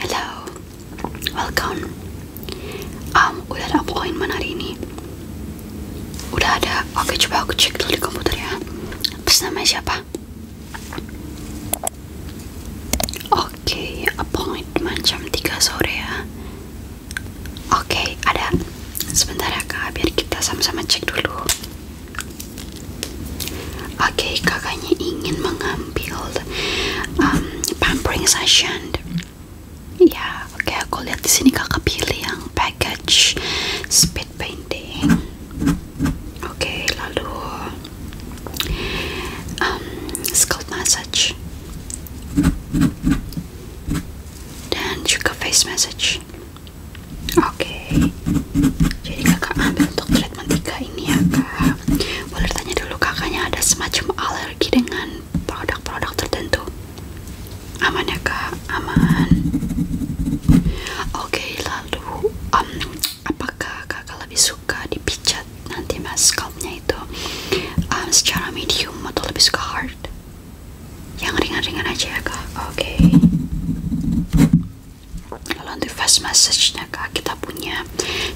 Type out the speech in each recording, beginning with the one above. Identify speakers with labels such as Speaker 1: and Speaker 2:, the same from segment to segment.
Speaker 1: Hello, welcome. Um, udah ada appointment hari ini. Udah ada. Oke, coba aku cek dulu di komputer ya. Terus namanya siapa? Oke, appointment jam tiga sore ya. Oke, ada. Sebentar ya kak, biar kita sama-sama cek dulu. Oke, kakaknya ingin mengambil um, pampering session. Ya, oke aku lihat di sini kakak pilih yang package speed painting. Oke, lalu um, scalp massage dan juga face massage. Oke, jadi kakak ambil untuk treatment 3 ini ya kak. Boleh tanya dulu kakaknya ada semacam alergi dengan produk-produk tertentu? Aman ya kak, aman. Oke, lalu um, apakah kakak lebih suka dipijat nanti mas scalpnya itu um, secara medium atau lebih suka hard? yang ringan-ringan aja ya kak oke okay. kalau untuk face massage nya kak kita punya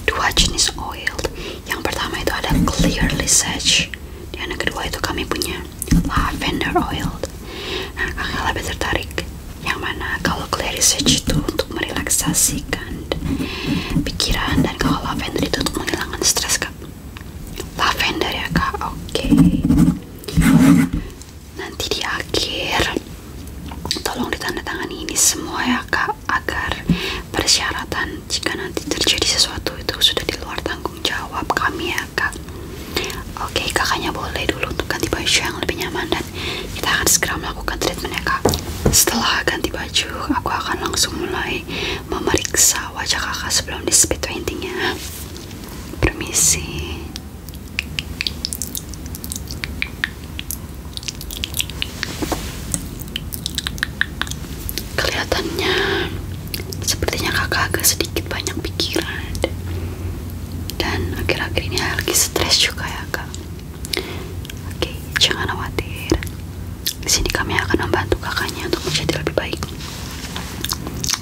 Speaker 1: dua jenis oil yang pertama itu ada clear lisage dan yang kedua itu kami punya lavender oil nah kakak lebih tertarik yang mana kalau clear lisage itu untuk merelaksasikan pikiran dan kalau lavender itu untuk menghilangkan stres kak lavender ya kak oke nanti di akhir tolong ditandatangani ini semua ya kak agar persyaratan jika nanti terjadi sesuatu itu sudah di luar tanggung jawab kami ya kak oke okay, kakaknya boleh dulu untuk ganti baju yang lebih nyaman dan kita akan segera melakukan treatment ya kak setelah ganti baju aku akan langsung mulai memeriksa wajah kakak sebelum di speed painting ya. Permisi. Kelihatannya sepertinya kakak agak sedikit banyak pikiran dan akhir-akhir ini lagi stres juga ya kak. Oke, jangan khawatir. Di sini kami akan membantu kakaknya untuk menjadi lebih baik.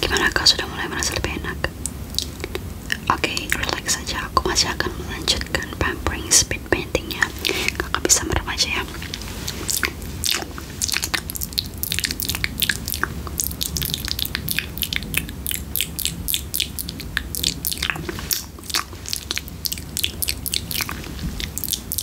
Speaker 1: Gimana kau sudah mulai merasa lebih enak? Oke, relax saja. Aku masih akan melanjutkan pampering speed paintingnya. Kakak bisa merem aja ya.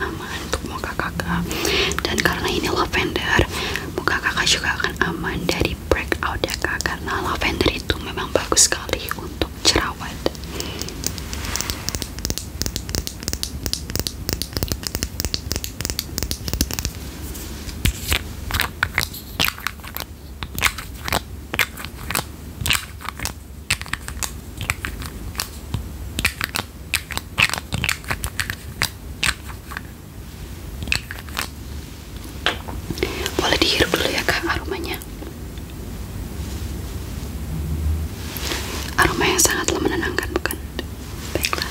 Speaker 1: aman untuk muka kakak dan karena ini lavender muka kakak juga akan aman dari breakout ya kak karena lavender itu memang bagus sekali untuk jerawat boleh dihirup dulu ya kak aromanya. Aroma yang sangatlah menenangkan bukan? Baiklah.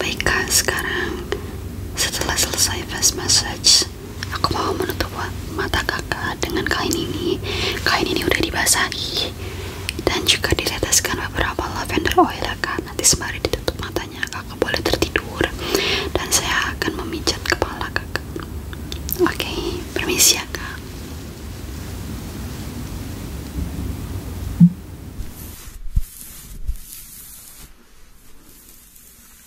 Speaker 1: Baiklah sekarang setelah selesai face massage aku mau menutup mata kakak dengan kain ini. Kain ini udah dibasahi dan juga diteteskan beberapa lavender oil ya kak. Nanti sembari ditutup matanya kakak boleh tertidur dan saya akan memijat kepala kakak. Oke, okay, permisi ya kak.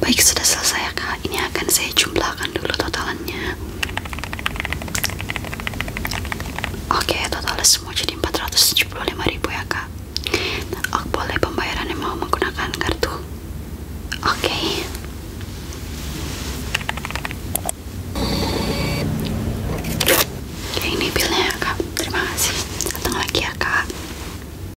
Speaker 1: Baik sudah selesai ya kak, ini akan saya jumlahkan dulu totalannya Oke total semua jadi ribu ya kak nah, oh, Boleh yang mau menggunakan kartu Oke Oke ini bilnya ya kak, terima kasih Datang lagi ya kak